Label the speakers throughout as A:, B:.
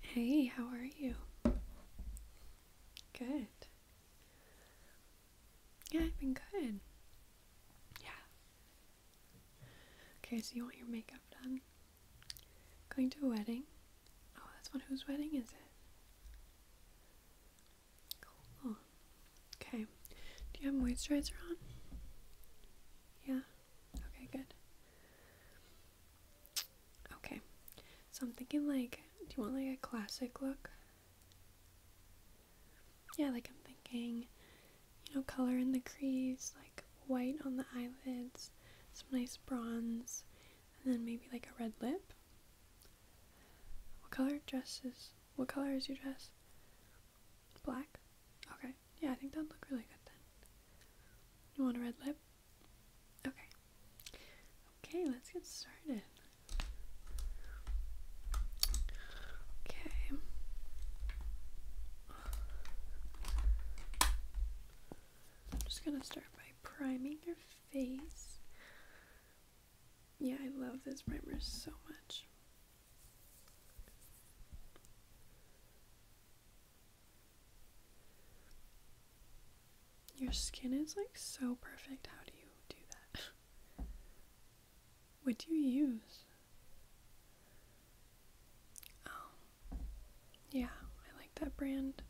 A: Hey, how are you? Good. Yeah, I've been good. Yeah. Okay, so you want your makeup done? Going to a wedding? Oh, that's one. Whose wedding is it? Cool. Okay. Do you have moisturizer on? Yeah? Okay, good. Okay. So I'm thinking like do you want like a classic look? Yeah, like I'm thinking, you know, color in the crease, like white on the eyelids, some nice bronze, and then maybe like a red lip. What color dresses? What color is your dress? Black? Okay. Yeah, I think that'd look really good then. You want a red lip? Okay. Okay, let's get started. Okay. I'm just gonna start by priming your face. Yeah, I love this primer so much. Your skin is like so perfect. How do you do that? what do you use? Oh, yeah, I like that brand.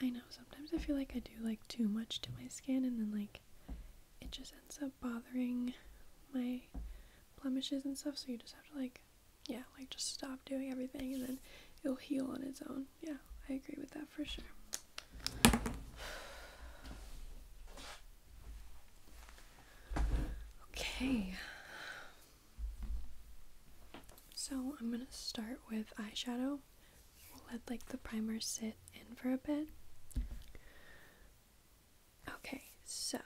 A: I know, sometimes I feel like I do like too much to my skin and then like it just ends up bothering my blemishes and stuff, so you just have to like yeah, like just stop doing everything and then it'll heal on its own. Yeah, I agree with that for sure. Okay. So I'm gonna start with eyeshadow. let like the primer sit in for a bit. Okay, so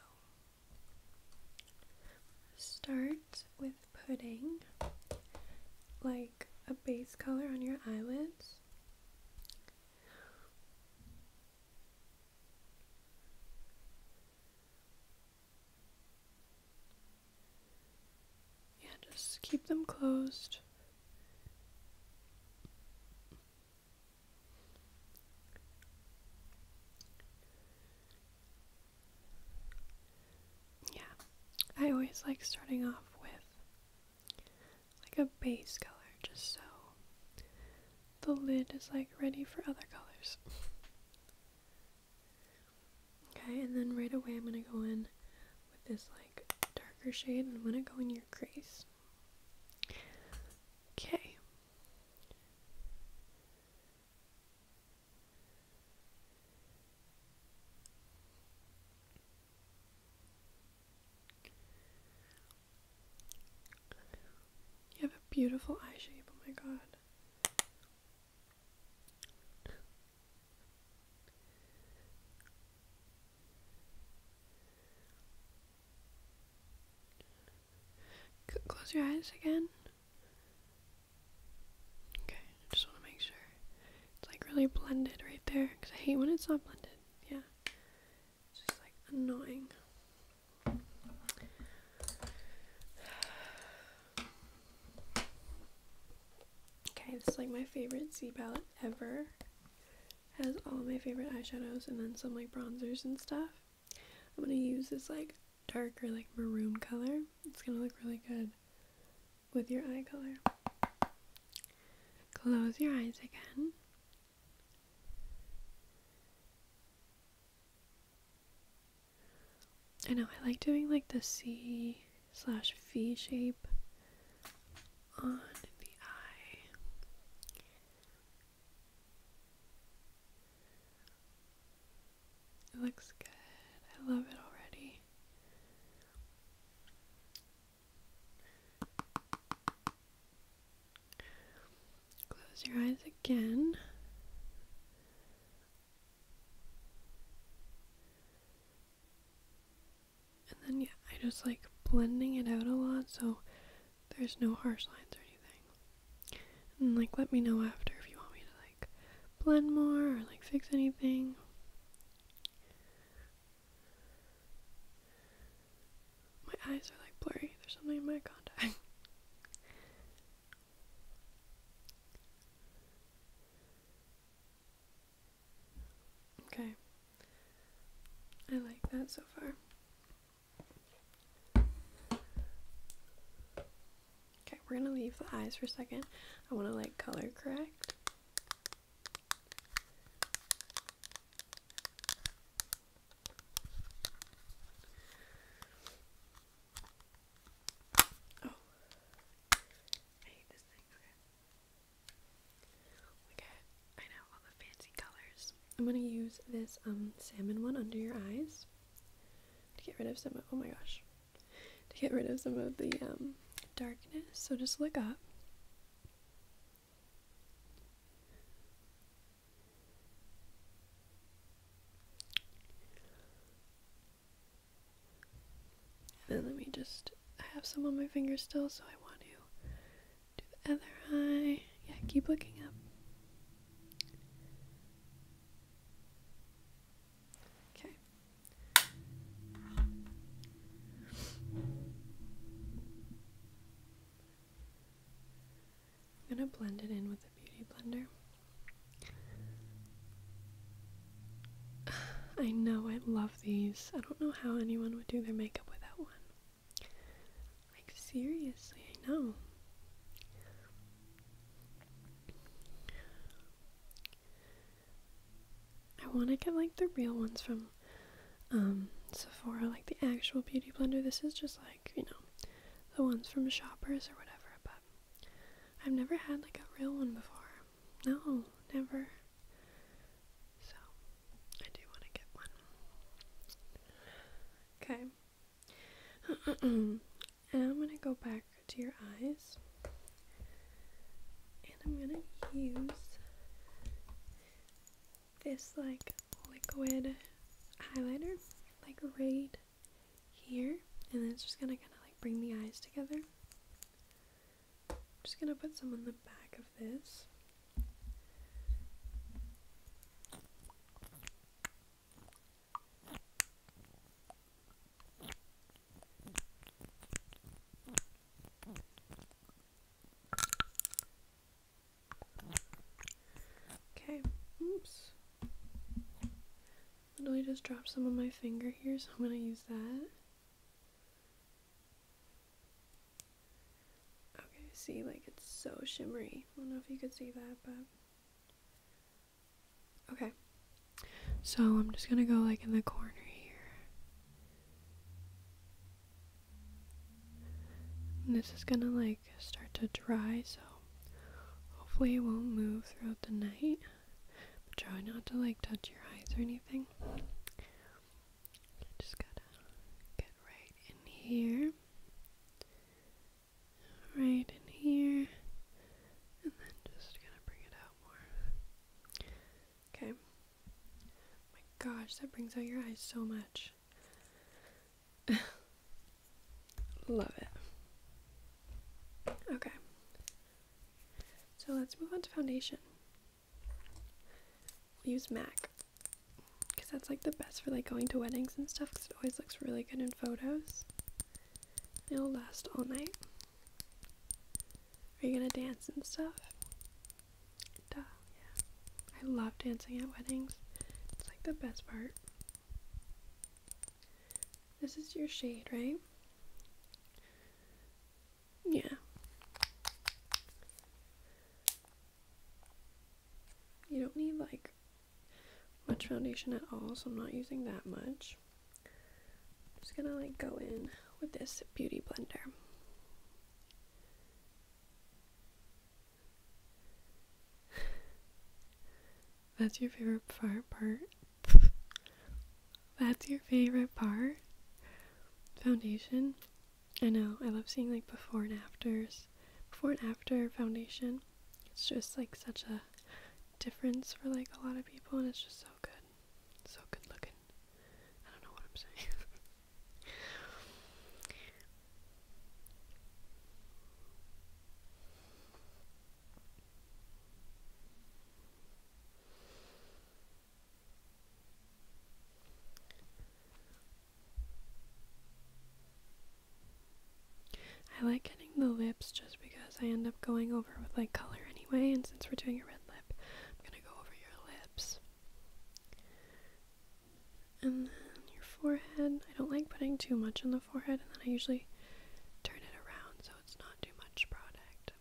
A: start with putting like a base color on your eyelids. Yeah, just keep them closed. Yeah, I always like starting off with like a base color just so the lid is like ready for other colors. Okay, and then right away I'm going to go in with this like darker shade and I'm going to go in your crease. Okay. You have a beautiful eye shape, oh my god. Close your eyes again. Okay, I just want to make sure. It's like really blended right there because I hate when it's not blended. Yeah. It's just like annoying. Okay, this is like my favorite Z palette ever. has all my favorite eyeshadows and then some like bronzers and stuff. I'm gonna use this like darker like maroon color. It's gonna look really good with your eye color. Close your eyes again. I know, I like doing like the C slash V shape on the eye. It looks good. I love it already. Close your eyes again. And then, yeah, I just like blending it out a lot so there's no harsh lines or anything. And like, let me know after if you want me to like blend more or like fix anything. My eyes are like blurry, there's something in my contact. Okay. I like that so far. Okay, we're gonna leave the eyes for a second. I wanna like color correct. Oh. I hate this thing. Okay. I know, all the fancy colors. I'm going to use this um, salmon one under your eyes to get rid of some of, oh my gosh, to get rid of some of the um, darkness. So just look up. And then let me just, I have some on my finger still, so I want to do the other eye. Yeah, keep looking up. Okay. I'm going to blend it in with a Beauty Blender. I know, I love these. I don't know how anyone would do their makeup without one. Like, seriously, I know. I want to get like the real ones from um, Sephora, like the actual beauty blender. This is just like you know, the ones from shoppers or whatever, but I've never had like a real one before. No, never. So, I do want to get one. Okay. and I'm going to go back to your eyes. And I'm going to use this like liquid highlighter like right here, and then it's just gonna kind of like bring the eyes together. just gonna put some on the back of this. Okay, oops. Literally just dropped some of my finger here, so I'm gonna use that. Okay, see, like it's so shimmery. I don't know if you could see that, but. Okay. So I'm just gonna go like in the corner here this is gonna like start to dry, so hopefully it won't move throughout the night. But try not to like touch your eyes or anything. Just gotta get right in here. Right in here. And then just gonna bring it out more. Okay. my gosh, that brings out your eyes so much. Love it. Okay. So let's move on to foundation. use MAC. Because that's like the best for like going to weddings and stuff because it always looks really good in photos. it'll last all night. Are you gonna dance and stuff? Duh yeah. I love dancing at weddings. It's like the best part. This is your shade, right? Yeah. You don't need like much foundation at all, so I'm not using that much. I'm just gonna like go in with this beauty blender. That's your favorite far part. That's your favorite part. Foundation. I know, I love seeing like before and afters. Before and after foundation. It's just like such a difference for like a lot of people and it's just so good. So good looking. I don't know what I'm saying. I like getting the lips just because I end up going over with like color anyway, and since we're doing a red lip, I'm gonna go over your lips and then your forehead. I don't like putting too much on the forehead, and then I usually turn it around so it's not too much product.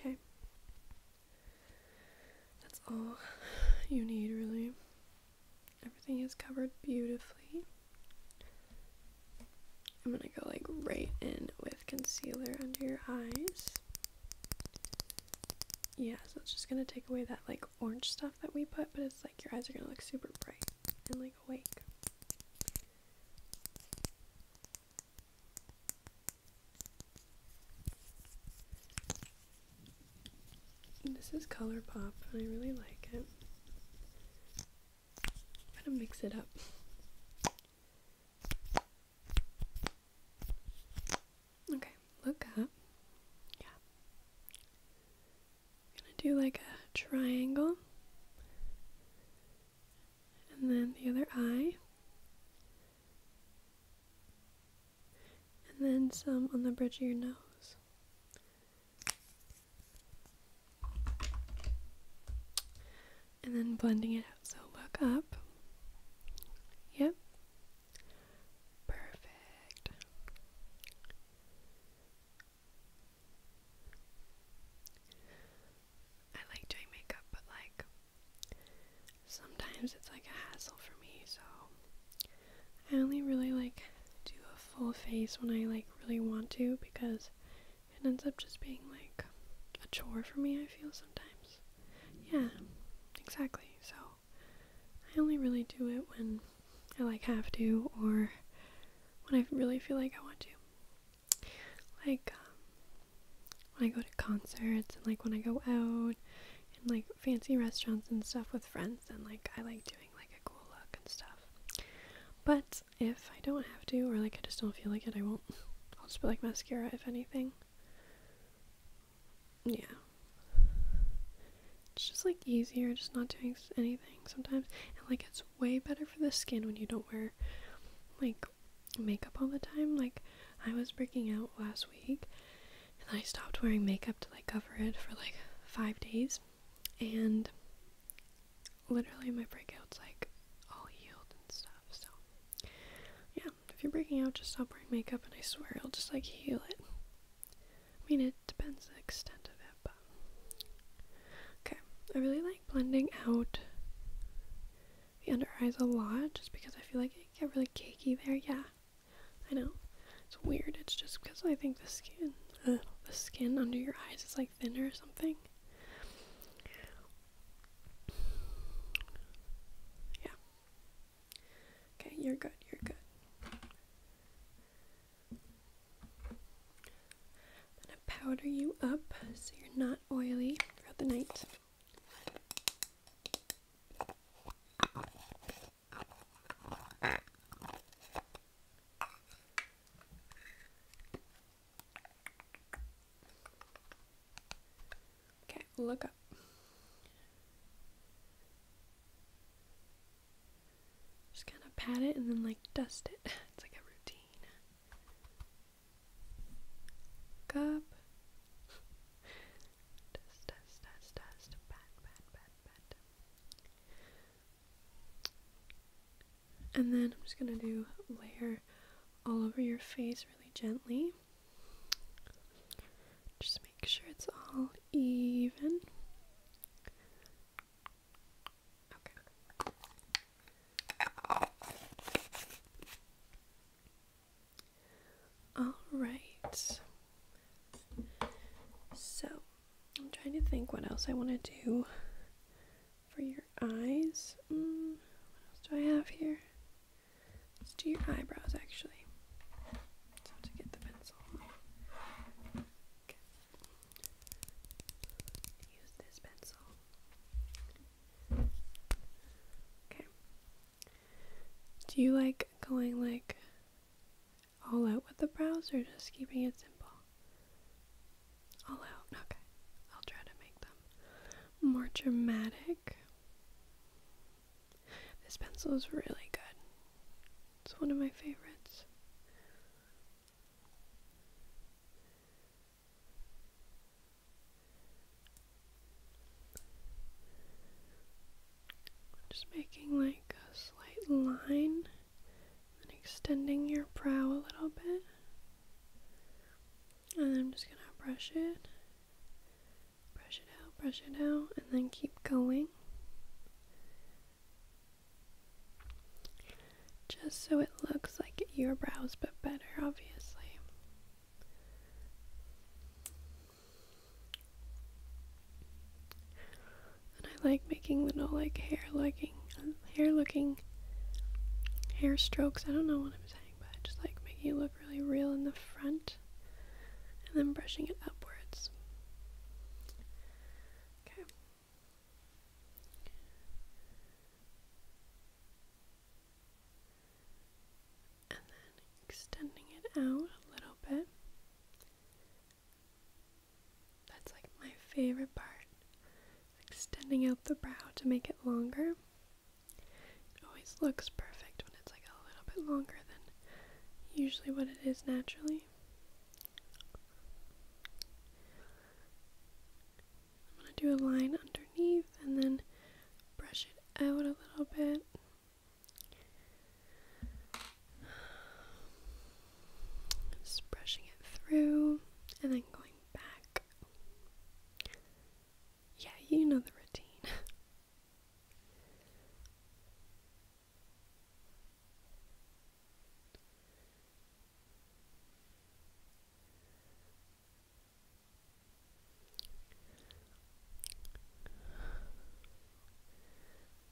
A: Okay. That's all you need, really. Everything is covered beautifully. I'm gonna go like right in with concealer under your eyes. Yeah, so it's just gonna take away that like orange stuff that we put, but it's like your eyes are gonna look super bright and like awake. This is ColourPop, and I really like it. Gotta mix it up. Okay, look up. Yeah. gonna do like a triangle. And then the other eye and then some on the bridge of your nose. And then blending it out. So look up. Yep. Perfect. I like doing makeup, but like, sometimes it's like a hassle for me, so I only really like do a full face when I like really want to because it ends up just being like a chore for me, I feel sometimes. Yeah, exactly. So I only really do it when I like have to or when I really feel like I want to. Like um, when I go to concerts and like when I go out in like fancy restaurants and stuff with friends, and like I like doing like a cool look and stuff. But if I don't have to, or like I just don't feel like it, I won't. I'll just put like mascara if anything. Yeah. It's just like easier, just not doing anything sometimes. And like it's way better for the skin when you don't wear like makeup all the time. Like I was breaking out last week and I stopped wearing makeup to like cover it for like five days, and literally my breakout's like all healed and stuff. So yeah, if you're breaking out, just stop wearing makeup, and I swear it'll just like heal it. I mean, it depends the extent of it, but okay. I really like blending out the under eyes a lot, just because I feel like it get really cakey there. Yeah. I know. It's weird. It's just because I think the skin, the skin under your eyes is like thinner or something. Yeah. Okay, you're good. You're good. I'm gonna powder you up so you're not oily throughout the night. Okay, look up. Just kind of pat it and then like dust it. It's like a routine. up. And then I'm just gonna do layer all over your face really gently. Just make sure it's all even. Okay. All right. So, I'm trying to think what else I want to do for your eyes. Mm, what else do I have here? Let's do your eyebrows actually. So to get the pencil. Use this pencil. Okay. Do you like going like all out with the brows or just keeping it simple? All out, okay. I'll try to make them more dramatic. This pencil is really good, it's one of my favorites. Just making like a slight line and extending your brow a little bit. And I'm just gonna brush it, brush it out, brush it out, and then keep going. Just so it looks like your brows, but better, obviously. And I like making little like hair looking hair looking hair strokes. I don't know what I'm saying, but I just like making it look really real in the front and then brushing it upwards. Okay and then extending it out a little bit. That's like my favorite part. Extending out the brow to make it longer. It always looks perfect when it's like a little bit longer than usually what it is naturally. I'm going to do a line underneath and then brush it out a little bit. Just brushing it through and then going back. Yeah, you know the routine.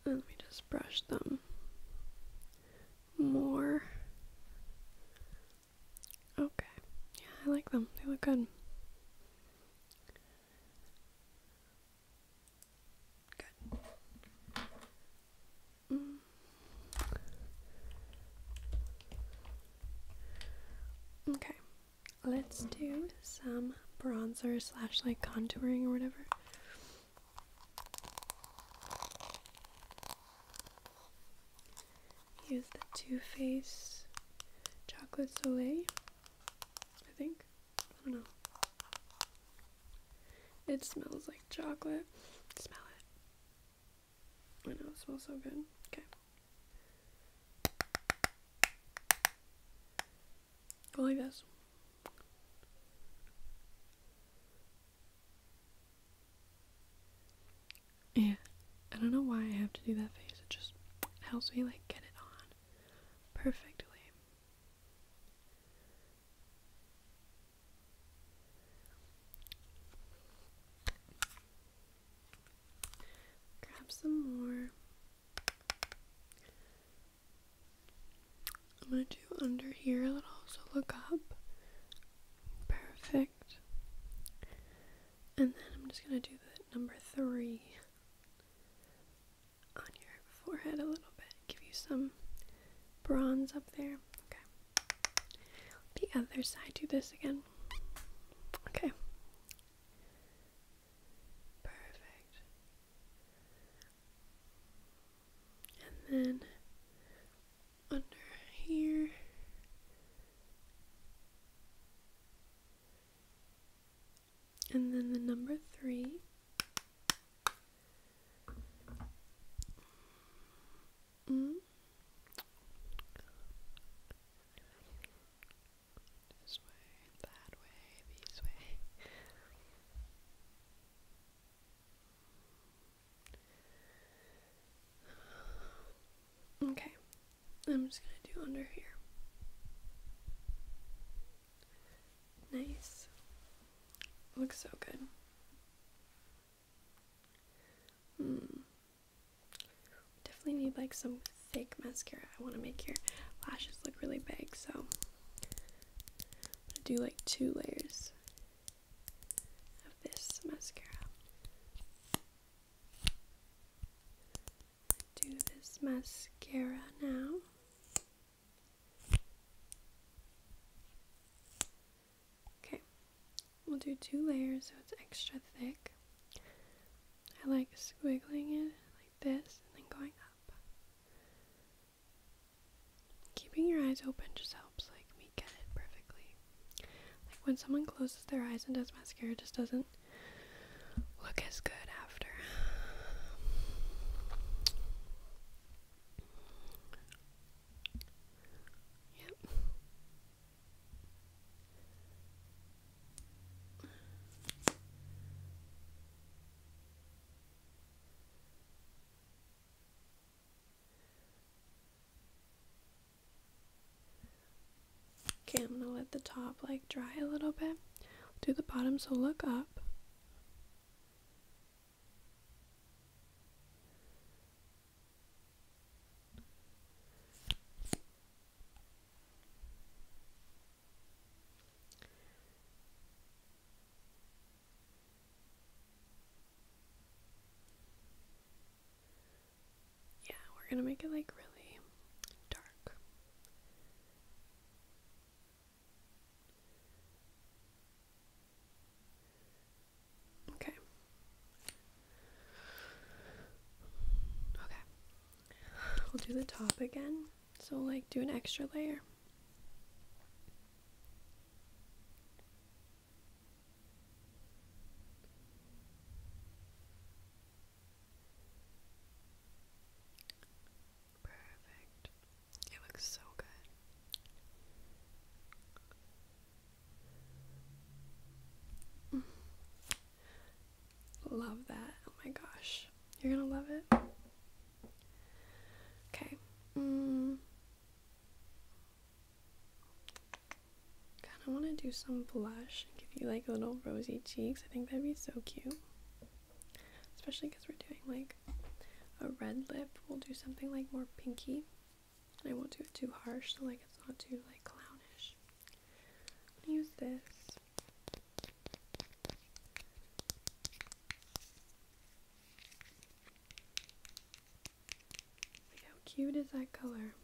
A: Let me just brush them more. Okay. Yeah, I like them. They look good. Good. Mm. Okay. Let's do some bronzer slash like contouring or whatever. Use the Too Faced Chocolate Soleil, I think. I don't know. It smells like chocolate. Smell it. I know it smells so good. Okay. Go like this. Yeah. I don't know why I have to do that face. It just helps me like get it on perfectly. Grab some more. I'm gonna do under here a little, so look up. Perfect. And then I'm just gonna do the number three on your forehead a little bit, give you some bronze up there. Okay. The other side, do this again. Okay. Perfect. And then under here. And then the number three. Mm. This way, that way, these way. Okay, I'm just gonna do under here. Nice. Looks so good. Hmm. Definitely need like some thick mascara. I want to make your lashes look really big, so I'm gonna do like two layers of this mascara. Do this mascara now. Okay, we'll do two layers so it's extra thick. I like squiggling it like this and then going up. Keeping your eyes open just helps like me get it perfectly. Like when someone closes their eyes and does mascara just doesn't look as good after. Yep. Okay, I'm gonna let the top like dry a little bit. Do the bottom, so look up. Yeah, we're going to make it like really dark. Okay. Okay. We'll do the top again. So, like, do an extra layer. Perfect. It looks so good. Love that. Oh my gosh. You're gonna love it. Okay. Mm. God, I want to do some blush and give you like little rosy cheeks. I think that'd be so cute. Especially because we're doing like a red lip. We'll do something like more pinky. I won't do it too harsh, so like it's not too like clownish. I'm gonna use this. how cute is that color?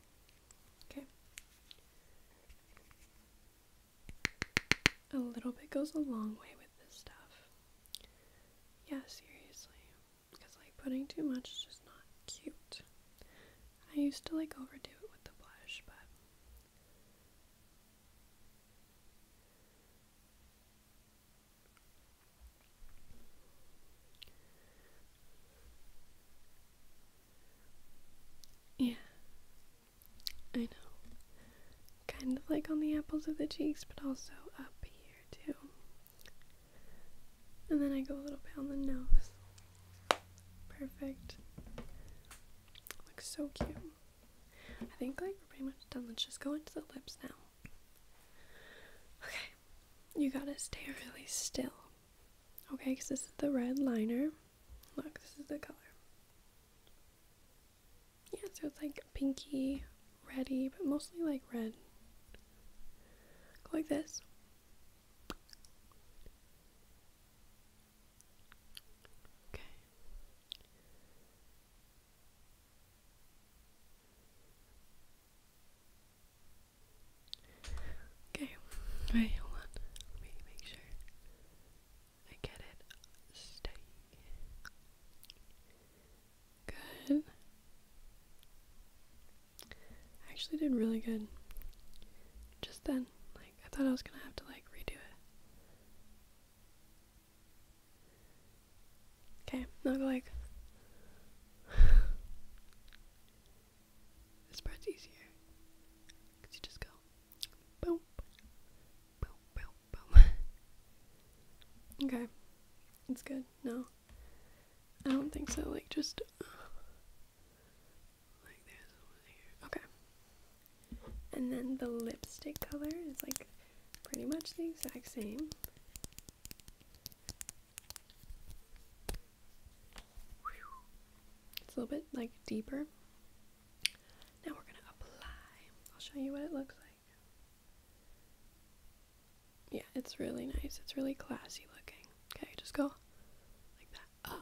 A: Okay. A little bit goes a long way with this stuff. Yeah, seriously because like putting too much is just not cute. I used to like overdo it with the blush, but Yeah. I know. Kind of like on the apples of the cheeks, but also up here too. And then I go a little bit on the nose. Perfect. Looks so cute. I think like we're pretty much done. Let's just go into the lips now. Okay. You gotta stay really still. Okay, because this is the red liner. Look, this is the color. Yeah, so it's like pinky Ready, but mostly like red. Go like this. Okay. Okay. Wait, hold on. Let me make sure I get it steady. Good. I actually did really good just then. Like, I thought I was gonna have to, like, redo it. Okay, now go, like. this part's easier. Because you just go. Boom. Boom, boom, boom. okay. It's good. No. I don't think so. Like, just. Okay. And then the lipstick color is like pretty much the exact same. It's a little bit like deeper. Now we're going to apply. I'll show you what it looks like. Yeah, it's really nice. It's really classy looking. Okay, just go like that.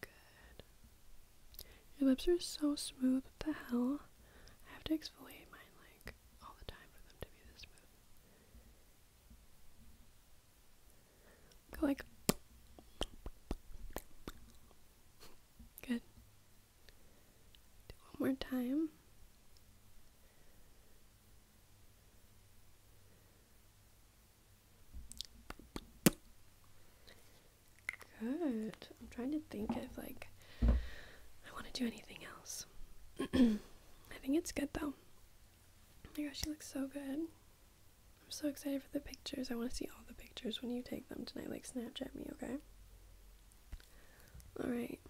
A: Good. Your lips are so smooth. What the hell? I have to exfoliate mine like all the time for them to be this smooth. Go like. Good. Do one more time. Good. I'm trying to think if like I want to do anything else. I think it's good though. Oh my gosh, she looks so good. I'm so excited for the pictures. I want to see all the pictures when you take them tonight. Like, Snapchat me, okay? Alright.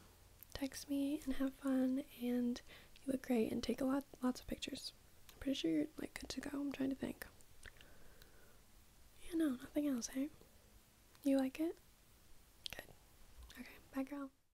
A: Text me and have fun, and you look great, and take a lot, lots of pictures. I'm pretty sure you're, like, good to go. I'm trying to think. Yeah, no, nothing else, hey? You like it? Good. Okay, bye, girl.